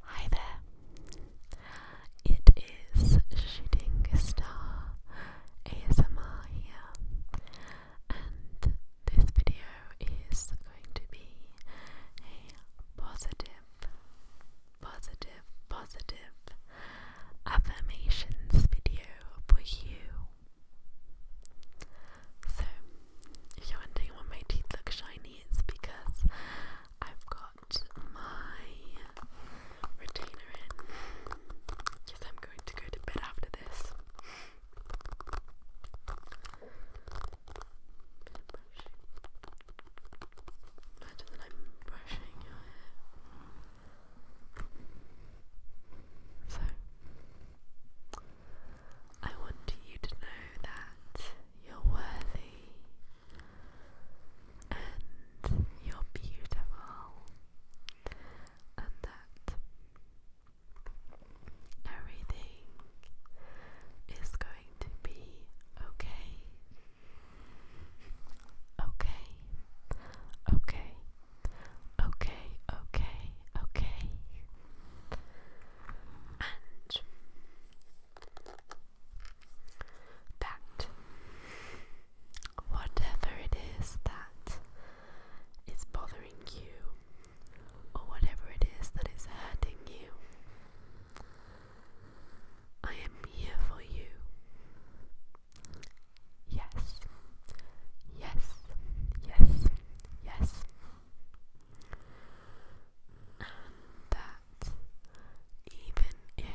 Hi there. It is Shooting Star ASMR here, and this video is going to be a positive, positive, positive affirmations video for you so, if you're wondering why my teeth look shiny, it's because I've got my retainer in. Because I'm going to go to bed after this. Imagine that I'm brushing your hair. So, I want you to know that you're worthy and you're beautiful, and that everything is going to be okay. Okay, okay, Okay, okay, okay. And that whatever it is that is bothering you, or whatever it is that is hurting you, I am here for you. Yes. Yes. Yes. Yes. that even if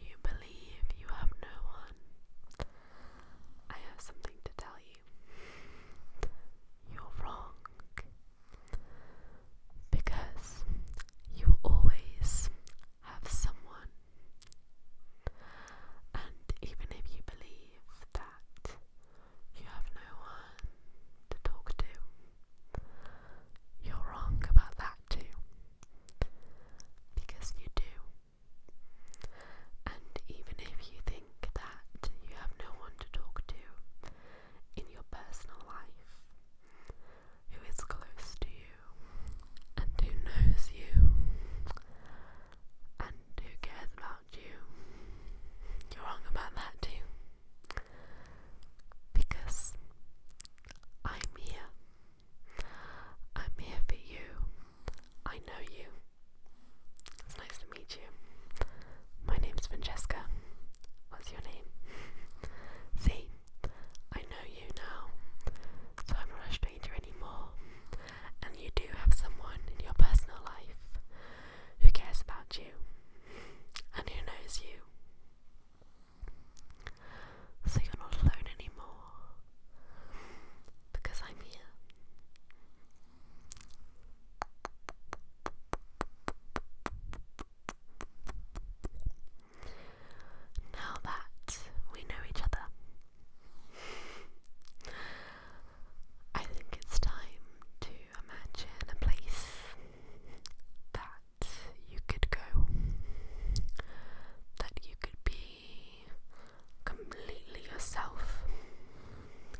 you believe you have no one, I have something to tell you. You're wrong. Because you always have someone. And even if you believe that that you have no one to talk to. You're wrong about that too. Because you do. And even if you think that you have no one to talk to in your personal life, who is close to you and who knows you and who cares about you. You're wrong about that too. Because I'm here. I'm here for you. I know you. It's nice to meet you. My name's Francesca. What's your name? See, I know you now, so rushed anymore, and you do have someone in your personal life who cares about you and who knows you. So you're not alone anymore because I'm here. Now that we know each other, I think it's time to imagine a place that you could go, that you could be completely yourself,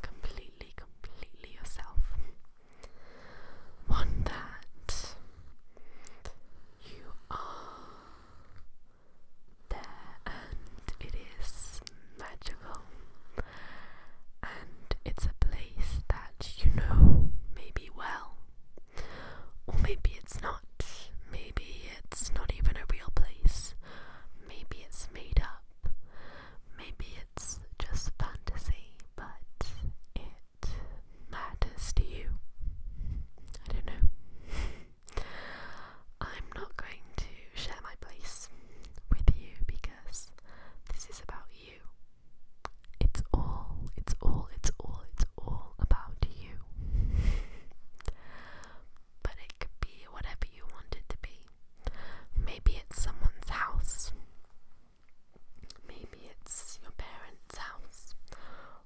completely, completely yourself. One that you are there and it is magical and it's a place that you know maybe well or maybe it's not maybe it's not even a real place maybe it's made up maybe it's just fantasy but it matters to you I don't know I'm not going to share my place with you because this is about you. It's all, it's all, it's all, it's all about you. but it could be whatever you want it to be. Maybe it's someone's house. Maybe it's your parents' house,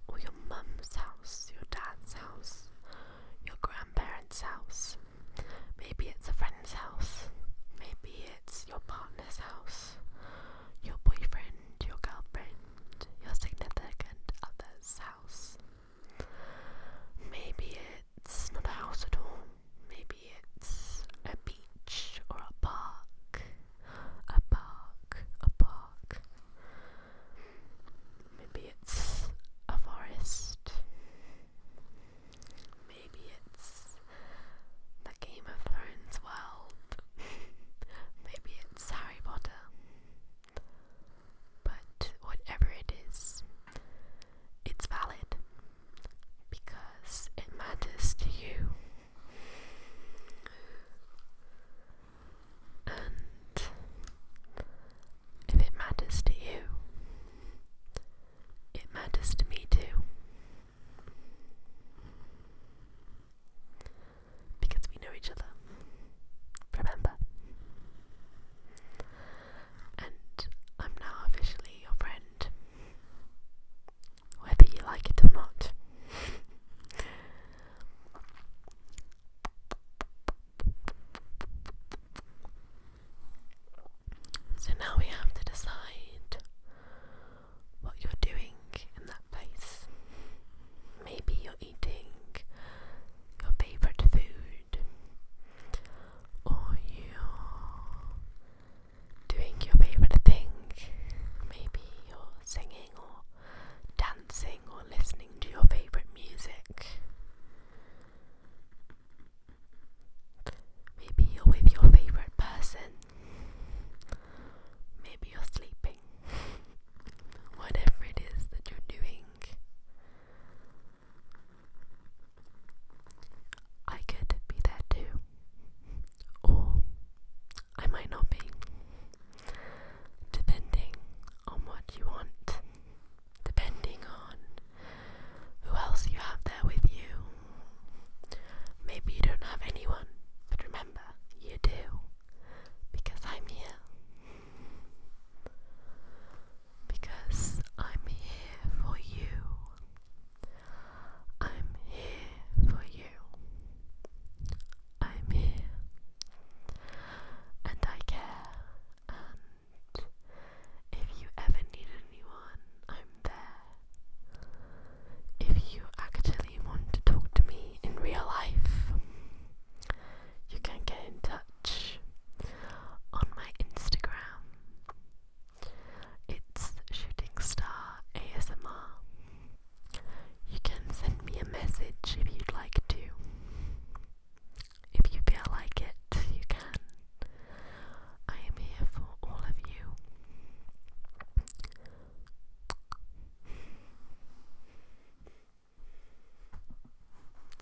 or your mum's house, your dad's house, your grandma's grandparents' house. Maybe it's a friend's house. Maybe it's your partner's house, your boyfriend, your girlfriend, your significant other's house. Maybe it's not a house at all. Maybe it's a beach or a park. A park, a park. Maybe it's a forest. Maybe it's the Game of Thrones world. Maybe it's Harry Potter. But whatever it is, it's valid because it matters to you and if it matters to you, it matters to me too. Because we know each other. Remember? And I'm now officially your friend. Whether you like it or not. So now we have to decide what you're doing in that place. Maybe you're eating your favourite food, or you're doing your favourite thing. Maybe you're singing or dancing or listening to your favourite music. Maybe you're with your favourite person. Maybe you're sleeping. Whatever it is that you're doing. I could be there too. Or I might not be depending on what you want, depending on who else you have there with you. Maybe you don't have anyone, but remember, you do, because I'm here. Because I'm here for you. I'm here for you. I'm here and I care. And if you ever need anyone, I'm there. If you actually want to talk to me in real life, you can get in touch on my Instagram. It's shooting star ASMR. You can send me a message if you'd like to. If you feel like it, you can. I am here for all of you.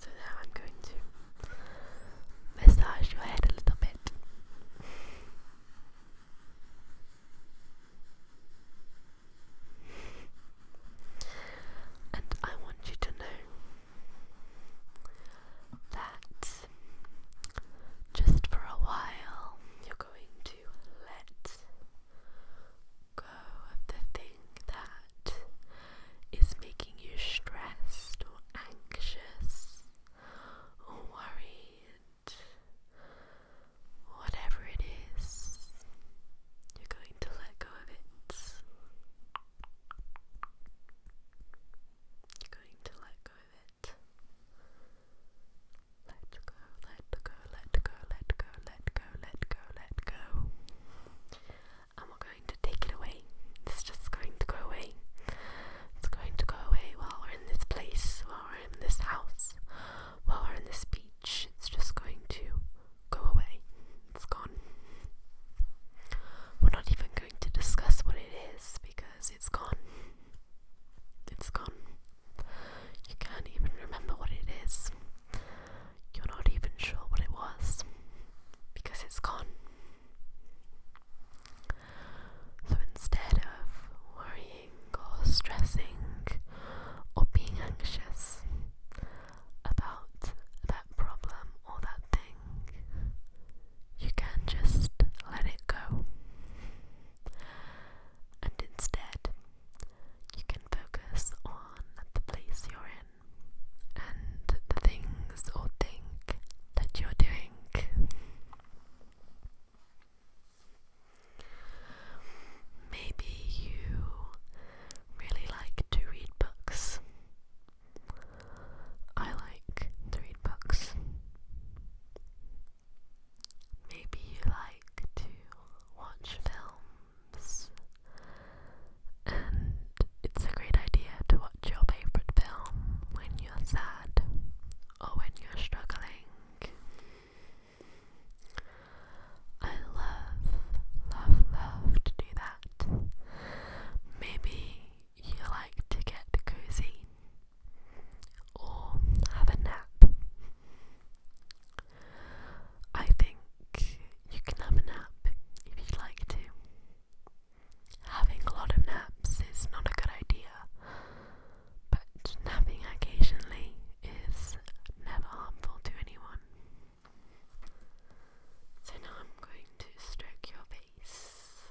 So now I'm going to massage your head a little bit. And I want you to know that just for a while you're going to let go of the thing that is making you stressed or anxious or worried. Whatever it is, you're going to let go of it. You're going to let go of it. Let go, let go, let go, let go, let go, let go, let go. And we're going to take it away. It's just going to go away. It's going to go away while we're in this place, while we're in this house, while we're in this beach, it's just going to go away. It's gone. We're not even going to discuss what it is because it's gone. It's gone. You can't even remember what it is. You're not even sure what it was because it's gone. So instead of worrying or stressing or being anxious about that problem or that thing, you can just let it go. And instead, you can focus on the place you're in and the things or think that you're doing. Maybe you really like to read books. I like to read books. Maybe you like to watch films. And it's a great idea to watch your favorite film when you're sad or when you're struggling. I love, love, love to do that. Maybe you like to get cozy or have a nap. I think you can have a nap if you'd like to. Having a lot of naps is not a good idea, but napping occasionally is never harmful to anyone. So now I'm going to stroke your face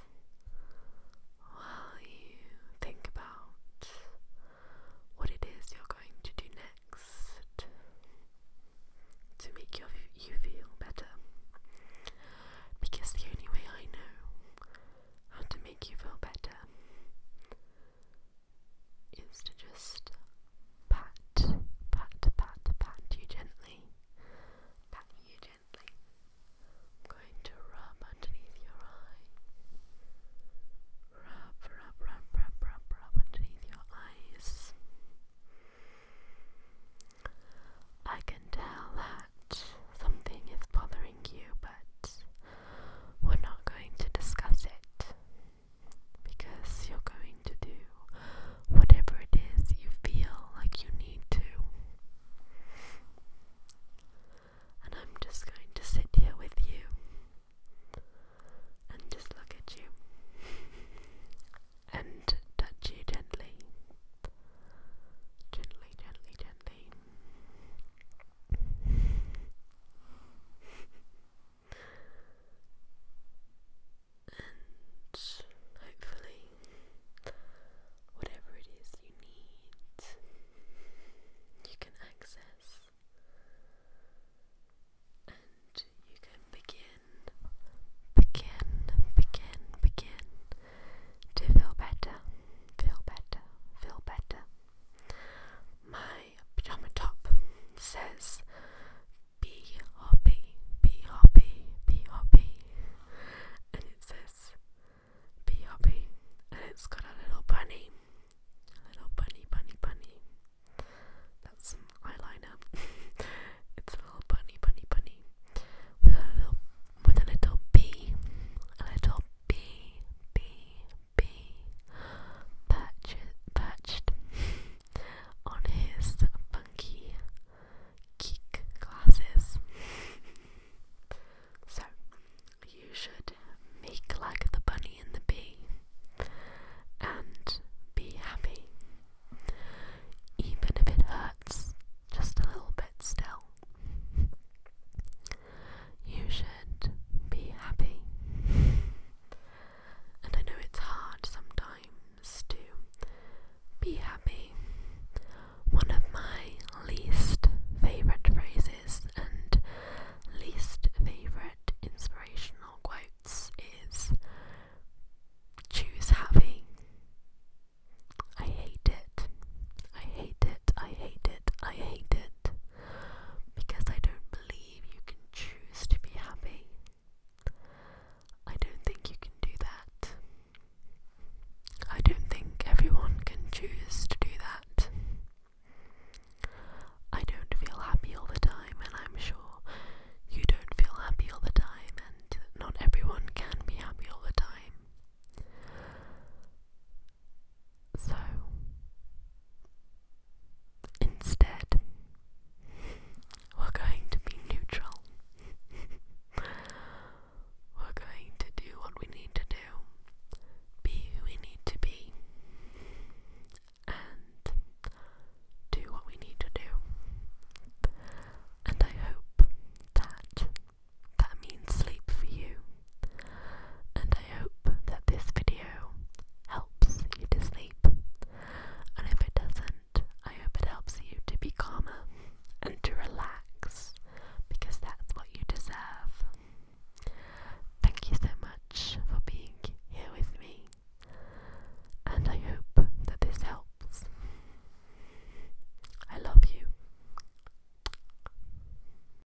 while you think about what it is you're going to do next to make your, you feel better. Because the only way I know how to make you feel better is to just pat, pat, pat, pat you gently. Pat you gently. I'm going to rub underneath your eye. Rub, rub, rub, rub, rub, rub underneath your eyes. I can tell that something is bothering you, but we're not going to discuss it because you're going to do whatever it is you feel like you need to. And I'm just going to sit here with you and just look at you and touch you gently. Gently, gently, gently and hopefully, whatever it is you need, you can access and you can begin, begin, begin, begin to feel better, feel better, feel better. My my pajama top says Be happy, be happy, be happy. And it says Be happy. And it's got a little bunny. A little bunny, bunny, bunny. That's some eyeliner. it's a little bunny, bunny, bunny. With a little with a little bee. A little bee, bee, be perched, perched on his funky geek glasses. so, you should make like the bunny and the bee and be happy. Even if it hurts just a little bit still you should be happy. and I know it's hard sometimes to be happy. One of my least favourite phrases and least favourite inspirational quotes is choose happy. I hate it. I hate it. I hate it. I hate it because I don't believe you can choose to be happy. I don't think you can do that. I don't think everyone can choose to do that. I don't feel happy all the time, and I'm sure you don't feel happy all the time, and not everyone can be happy all the time. So instead, we're going to be neutral. we're going to do what we need to do, be who we need to be, and do what we need to do. And I hope that that means sleep for you and I hope that this video helps you to sleep. And if it doesn't, I hope it helps you to be calmer and to relax because that's what you deserve. Thank you so much for being here with me, and I hope that this helps. I love you.